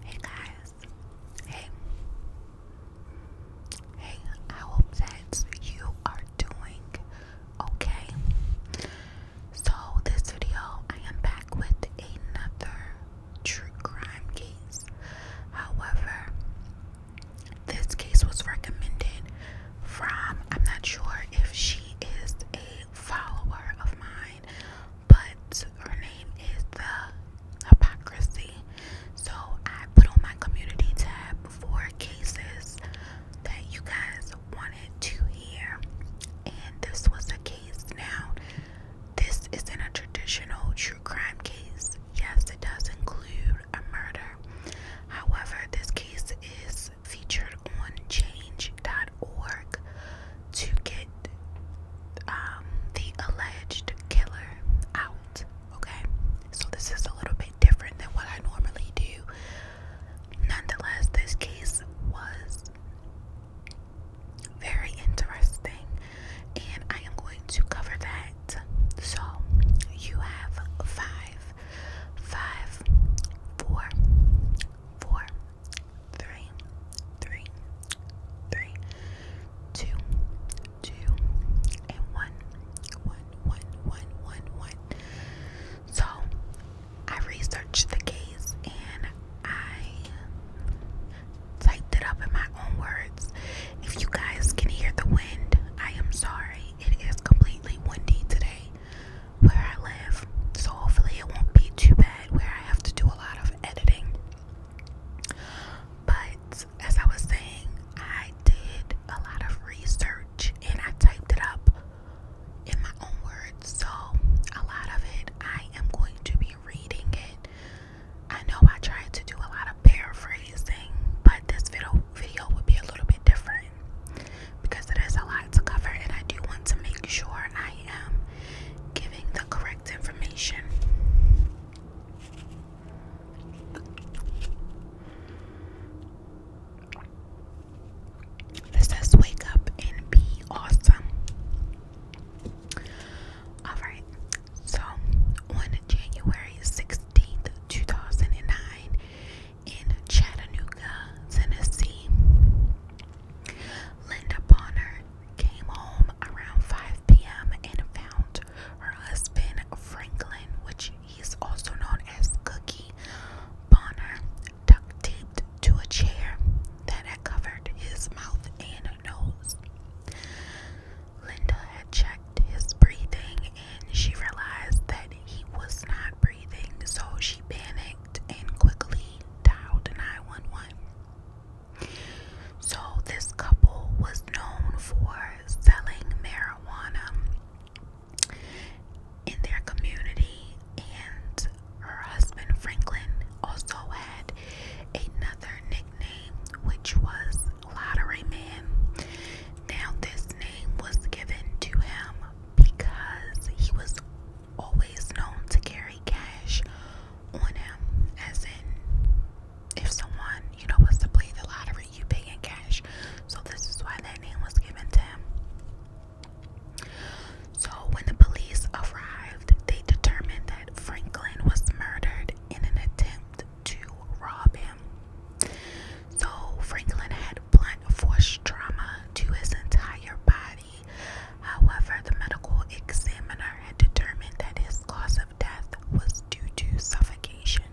Hey guys, hey, hey, I hope that you are doing okay. So, this video, I am back with another true crime case. However, this case was recommended from, I'm not sure if she is a follower of mine but her name is the hypocrisy. So I put on my community tab for cases that you guys wanted to hear, and this was a case. Now, this isn't a traditional true crime case. Yes, it does include a murder. However, this case is featured on change.org to get um, the alleged killer out. Okay, so this is a little bit different than what I normally do. Nonetheless, this case was very interesting, and I am going to cover that. So, you have five, five, four, four, three, three, three, two, two, and one, one, one, one, one, one. So I researched the case and I typed it up in my own words. If you guys can hear the wind, I am sorry. It is completely windy today where I live. So hopefully it won't be too bad where I have to do a lot of editing. But as I was saying, I did a lot of research and I typed it up in my own words. So, a lot of it, I am going to be reading it. I know I tried to do a lot of paraphrasing, but this video video will be a little bit different because there's a lot to cover and I do want to make sure I am giving the correct information. It says wake up and be awesome. Alright, so on January 16th, 2009, in Chattanooga, Tennessee, Linda Bonner came home around 5 p.m. and found her husband Franklin, which he's also known as Cookie Bonner, duct taped to a chair that had covered his mouth and nose. Linda had checked his breathing and she realized that he was not breathing, so she panicked and quickly dialed 911. So, this couple was known for selling marijuana in their community, and her husband Franklin also had another nickname, which was Lottery Man. Now, this name was given to him because he was always known to carry cash on him, as in, if someone, you know, was to play the lottery, you pay in cash. So, this is why that name was given to him. So, when the police arrived, they determined that Franklin was murdered in an attempt to rob him. So, Franklin had blunt force trauma to his entire body. However, the medical examiner had determined that his cause of death was due to suffocation.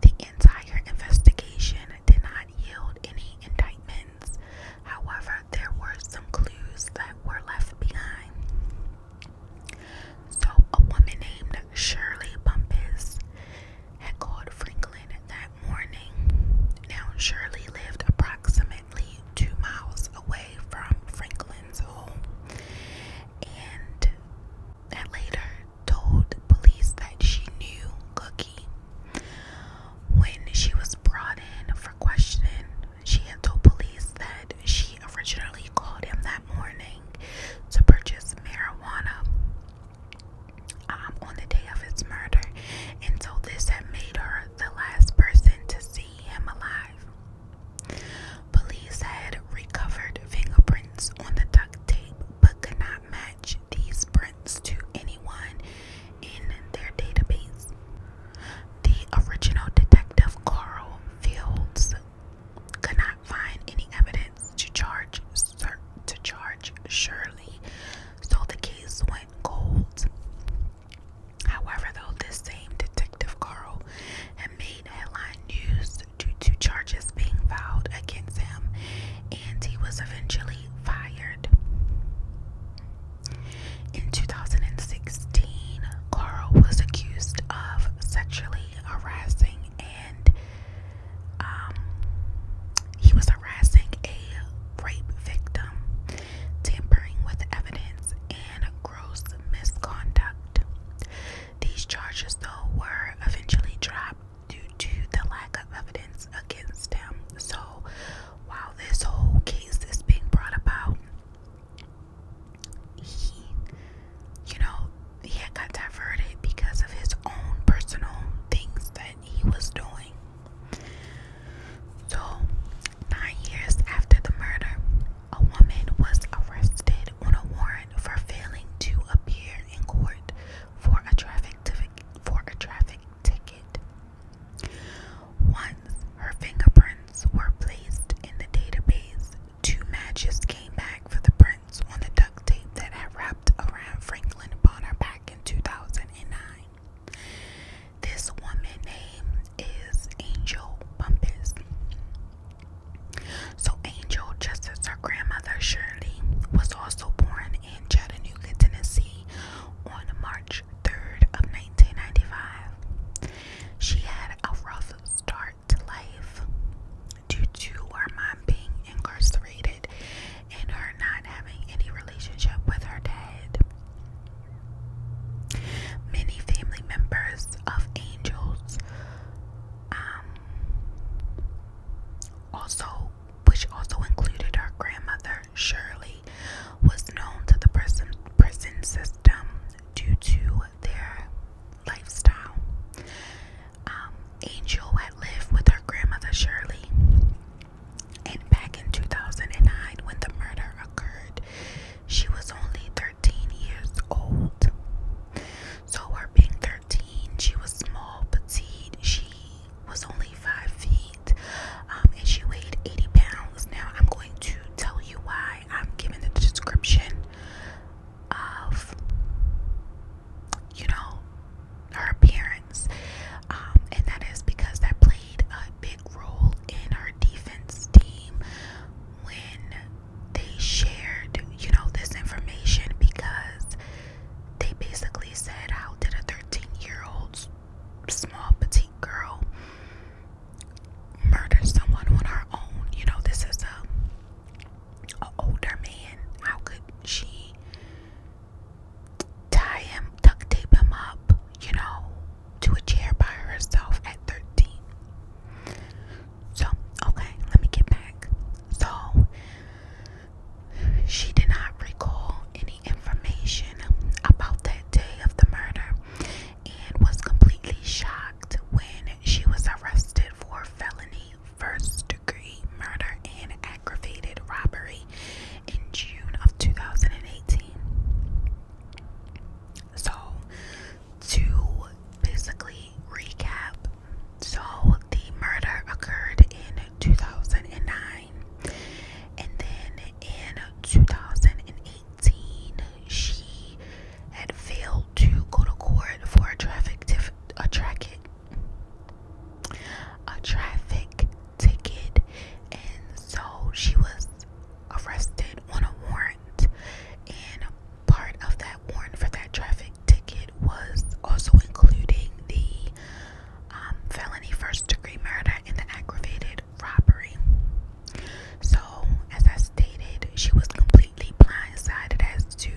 The entire investigation did not yield any indictments. However, there were some clues that were left behind. So, a woman named Shirley Bumpus had called Franklin that morning. Now, Shirley lived approximately approximately two miles away from Franklin's home and had later told police that she knew Cookie. When she was brought in for questioning, she had told police that she originally called him that morning to purchase marijuana um, on the day of his murder, and so this had made her the last person to Police had recovered fingerprints on the duct tape but could not match these prints to anyone in their database. The original detective Carl Fields could not find any evidence to charge to charge Shirley, so the case went cold. However, though, this same Detective Carl had made headline news due to charges being filed against him, and he was eventually fired. In 2016, Carl was accused of sexually harassing and um, he was harassing a rape victim tampering with evidence, and gross misconduct. These charges, though, were eventually dropped due to the lack of evidence against him. So, while this whole case is being brought about, he, you know, he had got diverted because of his own personal things that he was doing. So, nine years after the murder, a woman was arrested on a warrant for failing to appear in court for a traffic ticket. Once her fingerprints were placed in the database, two matches came back for the prints on the duct tape that had wrapped around Franklin Bonner back in 2009. This woman's name is Angel Bumpus. So Angel, just as her grandmother Shirley, was also born in Chattanooga, Tennessee on March 3rd of 1995. She had a rough start to life due to her mom being incarcerated and her not having any relationship with her dad. Many family members of angels um, also, which also included our grandmother Shirley, was known to the prison, prison system due to their lifestyle. Um, Angel had lived with her grandmother Shirley and back in 2009, when the murder occurred, she was only 13 years old. So, her being 13, she was small, petite. She was only five feet, um, and she weighed 80 pounds. Now, I'm going to tell you why I'm giving the description of, you know, her appearance. Um, and that is because that played a big role in our defense team when they shared, you know, this information because they basically said, How did a 13 year old small petite girl murder someone on her own? You know, this is a older man. How could she tie him, duct tape him up, you know, to a chair by herself at 13. So, okay, let me get back. So, she did not recall any information about that day of the murder and was completely shocked when she was arrested for felony first degree murder and aggravated robbery in June of 2018. So, to basically recap, so the murder occurred in 2009, and then in 2018, she had failed to go to court for a traffic ticket. a traffic ticket, and so she was arrested on a warrant, and part of that warrant for that traffic ticket was also including the um, felony first degree murder and the aggravated robbery. So, as I stated, she was completely blindsided as to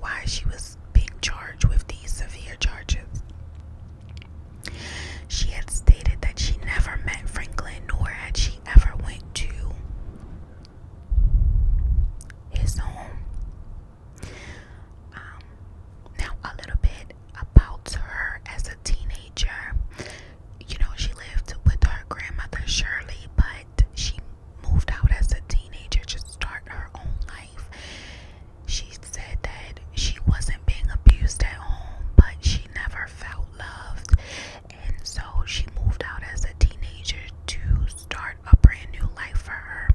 why she was being charged with these severe charges. She had stated that she never met Franklin nor had she ever went to his home. Um, now a little bit about her as a teenager. You know, she lived with her grandmother Shirley, but she moved out as a teenager to start her own life. She said that she wasn't being abused at home, but she she never felt loved, and so she moved out as a teenager to start a brand new life for her.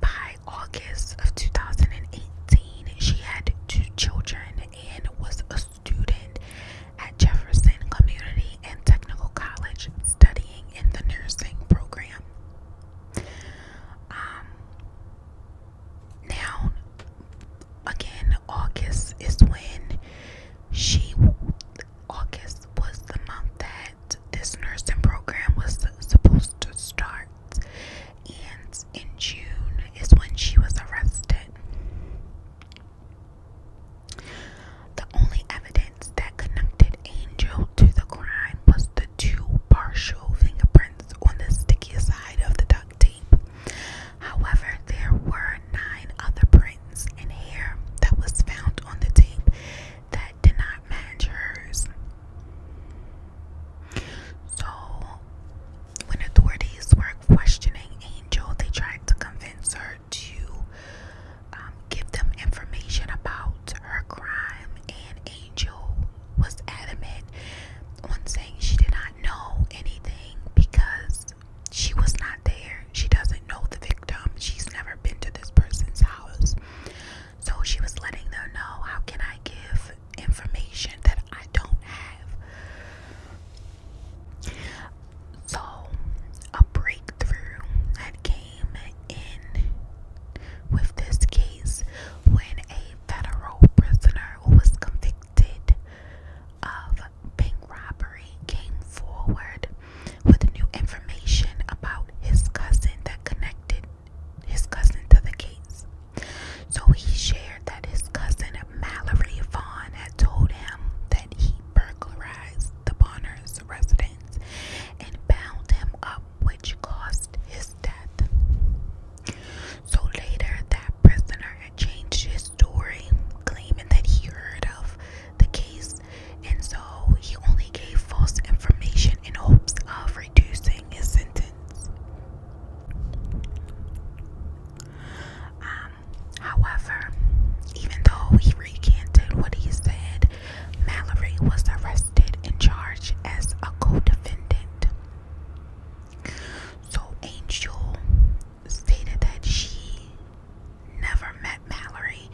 By August of 2018, she had two children and was a student at Jefferson Community and Technical College studying in the nursing program. Um, now again august is when she august was the month that this nursing program was supposed to start and in june is when she was arrested the only evidence that connected angel to the crime was two partial fingerprints on the sticky side of the duct tape. However, there were nine other prints in hair that was found on the tape that did not match hers. So, when authorities were questioning Angel, they tried to convince her to um, give them information about her crime, and Angel was adamant on saying she did not know anything because she was not there. She doesn't know the victim. She's never been to this person's house. So she was letting them know how can I give information that I don't have. So a breakthrough that came in with this case when a federal prisoner who was convicted of bank robbery came forward with new information about his cousin that connected his cousin to the case. So he shared that his cousin Mallory Vaughn had told him that he burglarized the Bonner's residence and bound him up which caused his death. So later, that prisoner had changed his story, claiming that he heard of the case, and so he only gave false information in hopes of reducing his sentence. Um, however, even though he recanted what he said, Mallory was arrested and charged as a co defendant. So Angel stated that she never met Mallory,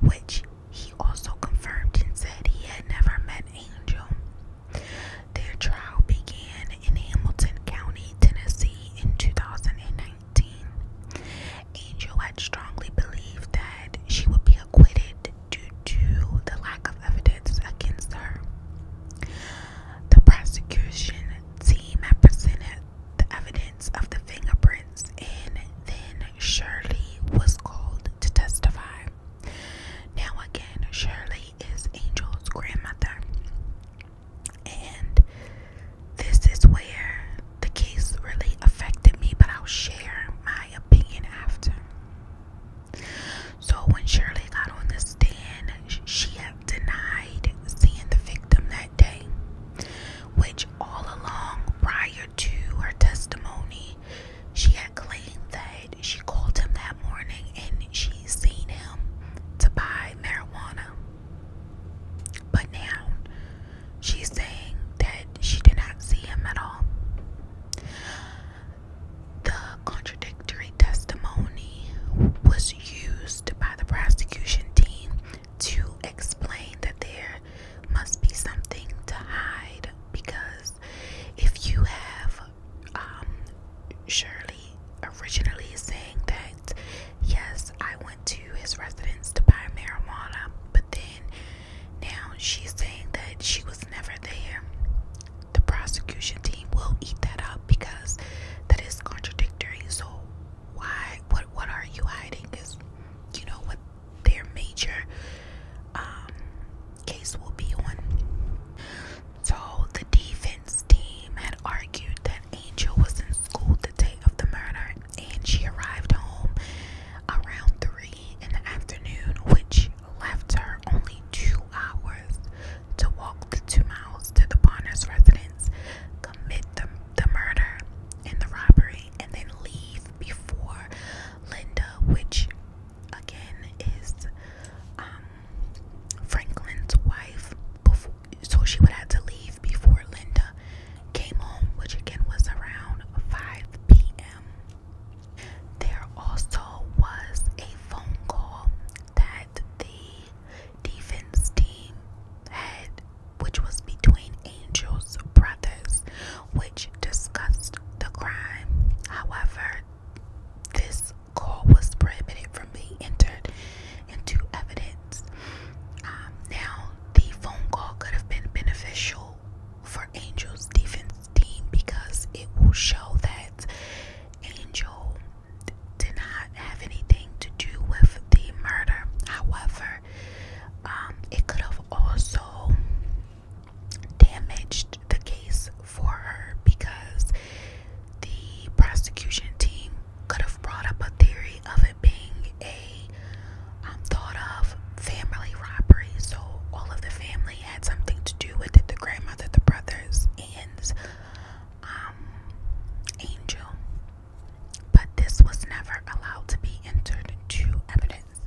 which he also confirmed and said he had never met Angel. Their trial began in Hamilton County, Tennessee in 2019. Angel had strongly believed that she would be acquitted due to the lack of evidence against her. The prosecution team presented the evidence of the fingerprints, and then Shirley was called to testify. Now, again, Shirley is Angel's grandmother, and this is where the case really affected me, but I'll share my opinion after. So when Shirley got on the stand, she had denied seeing the victim that day, which all along prior to her testimony, she had claimed that she called him that morning and she seen him to buy marijuana. But now she's saying that she did not see him at all. The contradictory testimony was used by the prosecution team to explain that there must be something to hide because if you have um, Shirley originally saying that, yes, I went to his residence to buy marijuana, but then now she's saying that she was never there the prosecution team will eat that up because that is contradictory. So why what what are you hiding is you know what their major um, case will be on. So the defense team had argued that Angel was in school the day of the murder and she arrived home around three in the afternoon, which left her only two hours to walk the two miles to the Bonner's residence, commit the, the murder and the robbery, and then leave before Linda, which again is um, Franklin's wife. Before, so she would have to leave before Linda came home, which again was around 5 p.m. There also was a phone call that the defense team had, which was between Angel's brothers, which discussed the crime. However, this call was prohibited from being entered into evidence. Um, now, the phone call could have been beneficial for Angel's defense team because it will show that Angel did not have anything to do with the murder. However, um, it could have also damaged the case for her because the prosecution team could have brought up a theory of it being a um, thought of family robbery. So all of the family had something to do with the grandmother, the brothers, and um, Angel. But this was never allowed to be entered into evidence.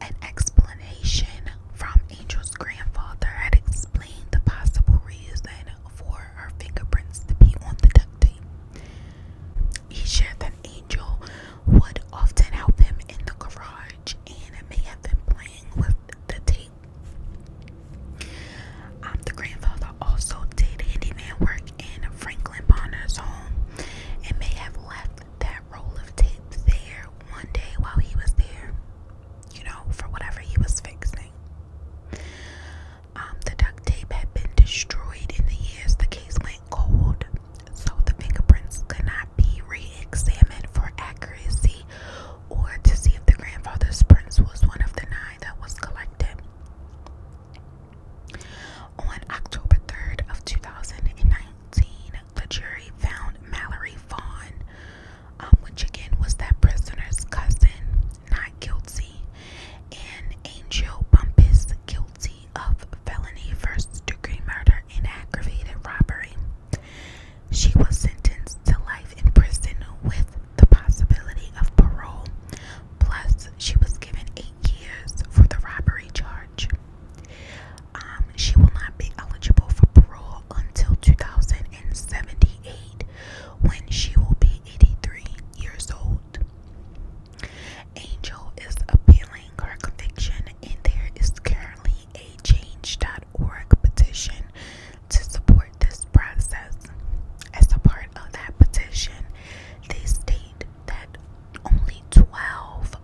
An explanation from Angel's grandfather had explained the possible reason for her fingerprints to be on the duct tape. He shared that Angel would often help him in the garage and may have been playing with the tape. Um, the grandfather also did handyman work in Franklin Bonner's home and may have left that roll of tape there one day while he was there, you know, for whatever he was fixing. Um, the duct tape had been destroyed in the years the case went cold. So the fingerprints could not be re-examined for accuracy or to see if the grandfather's prints was one of the nine that was collected. On October 3rd of 2019, the jury found Mallory Vaughn, um, which again was that prisoner's cousin, not guilty, and Angel Bumpus guilty of felony first degree murder murder aggravated robbery. She was sentenced to life in prison with the possibility of parole, plus, she was given eight years for the robbery charge. Um, she will not be eligible for parole until 2078 when she will be 83 years old. Angel is appealing her conviction, and there is currently a change.org petition to support this process. As a part of that petition, they state that only 12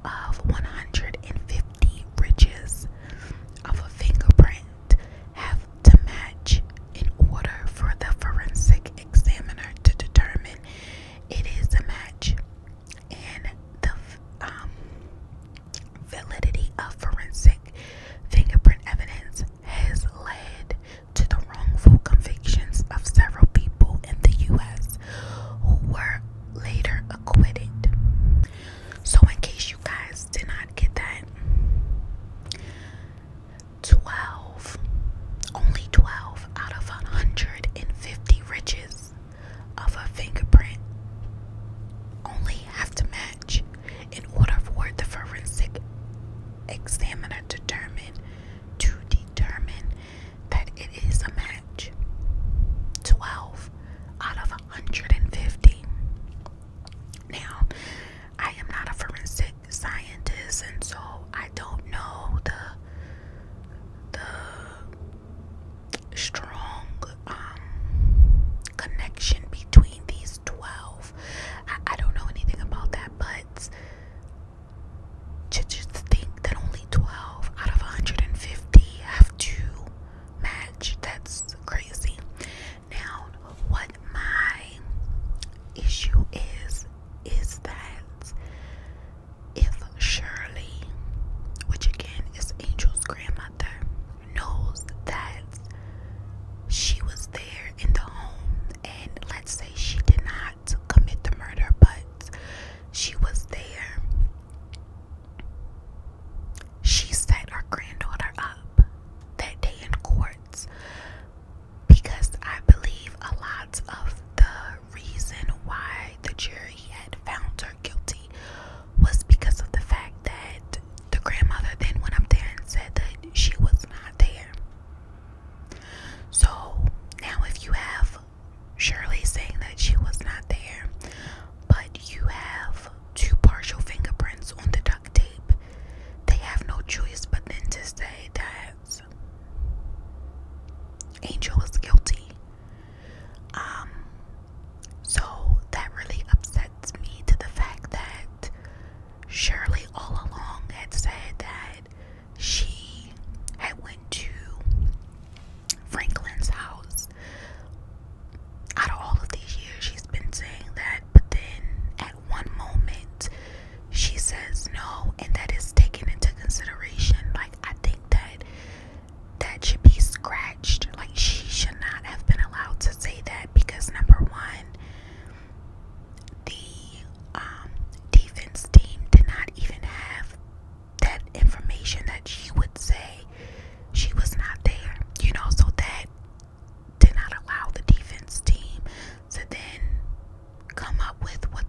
of 150 ridges of a fingerprint have to match in order for the forensic examiner to determine it is a match. And the um, validity of forensic fingerprint evidence has led to the wrongful convictions of several people in the U.S. who were later acquitted. So, in case you guys did not get that, 12, only 12 out of 150 richest of a fingerprint only have to match in order for the forensic examiner to determine to determine that it is a match. 12 out of 150. Now, I am not a forensic scientist and so I don't know the the strong um, connection between these 12. I, don't know anything about that, but to just think that only 12 out of 150 have to match, that's crazy. Now, what my issue is, is that if Shirley, which again is Angel's grandmother, knows that she was there in the home, and let's say she did not commit the murder, but she was there, she set her granddaughter up that day in courts because I believe a lot of the reason why the jury had found her guilty was because of the fact that the grandmother then went up there and said that she was not there. So now, if you have Shirley saying that she was not there, but you have two partial fingerprints on the duct tape, they have no choice but then to say that Angel was guilty um, so that really upsets me to the fact that Shirley all along had said that she had went to Franklin's house. Out of all of these years, she's been saying that, but then at one moment, she says no, and that is taken into consideration. Like, I think that that should be scratched. Like, she should not have been allowed to say that because, number one, the um, defense team did not even have that information that she would say she was not there, you know, so that did not allow the defense team to then come up with what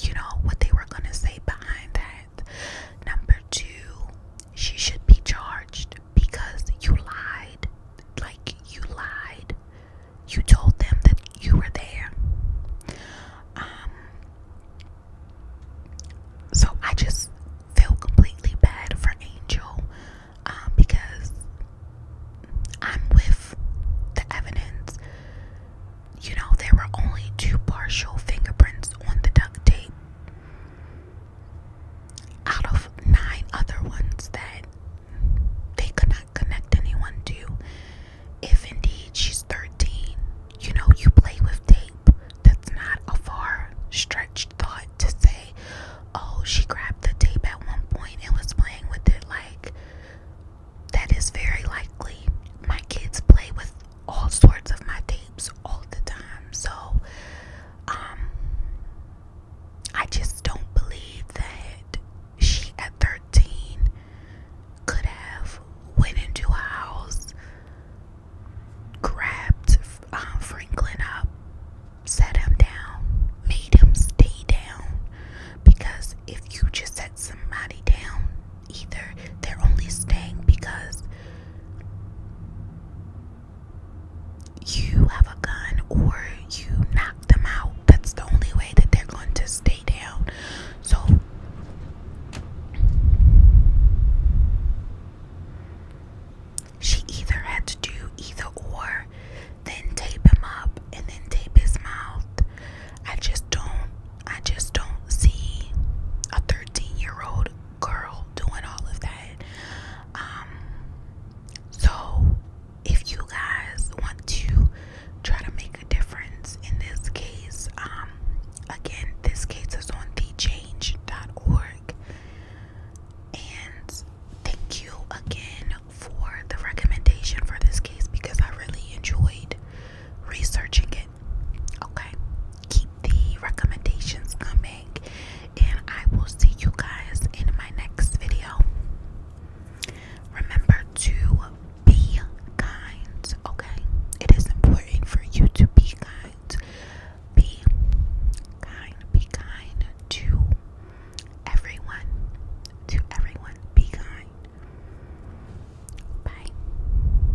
you know what they were going to say behind that Number two, she should be charged because you lied. Like, you lied. You told them that you were there. Um, so I just feel completely bad for Angel um, because I'm with the evidence. You know, there were only two partial fingerprints on the duct tape out of nine other ones that they could not connect anyone to. If indeed she's 13, you know, you play with tape. That's not a far stretched thought to say, oh, she grabbed the tape at one point and was playing with it. Like, that is very likely. My kids play with all sorts of my tapes all the time. So, um, I just don't believe that she at 13 could have went into a house, grabbed um, Franklin up, set him down, made him stay down. Because if you just set somebody down, either. They're only staying because you have a gun or you knock them out. That's the only way that they're going to stay down. So she either had to do either or, then tape him up and then tape his mouth. I just don't I just don't see a 13 year old girl doing all of that. Um, so if you guys want to try to make a difference in this case, um, again, this case is on thechange.org. And thank you again for the recommendation for this case because I really enjoyed researching it. Okay, keep the recommendations coming, and I will see you guys in my next video. Remember to be kind, okay? It is important for you to be kind. Be kind, be kind to everyone. To everyone, be kind. Bye.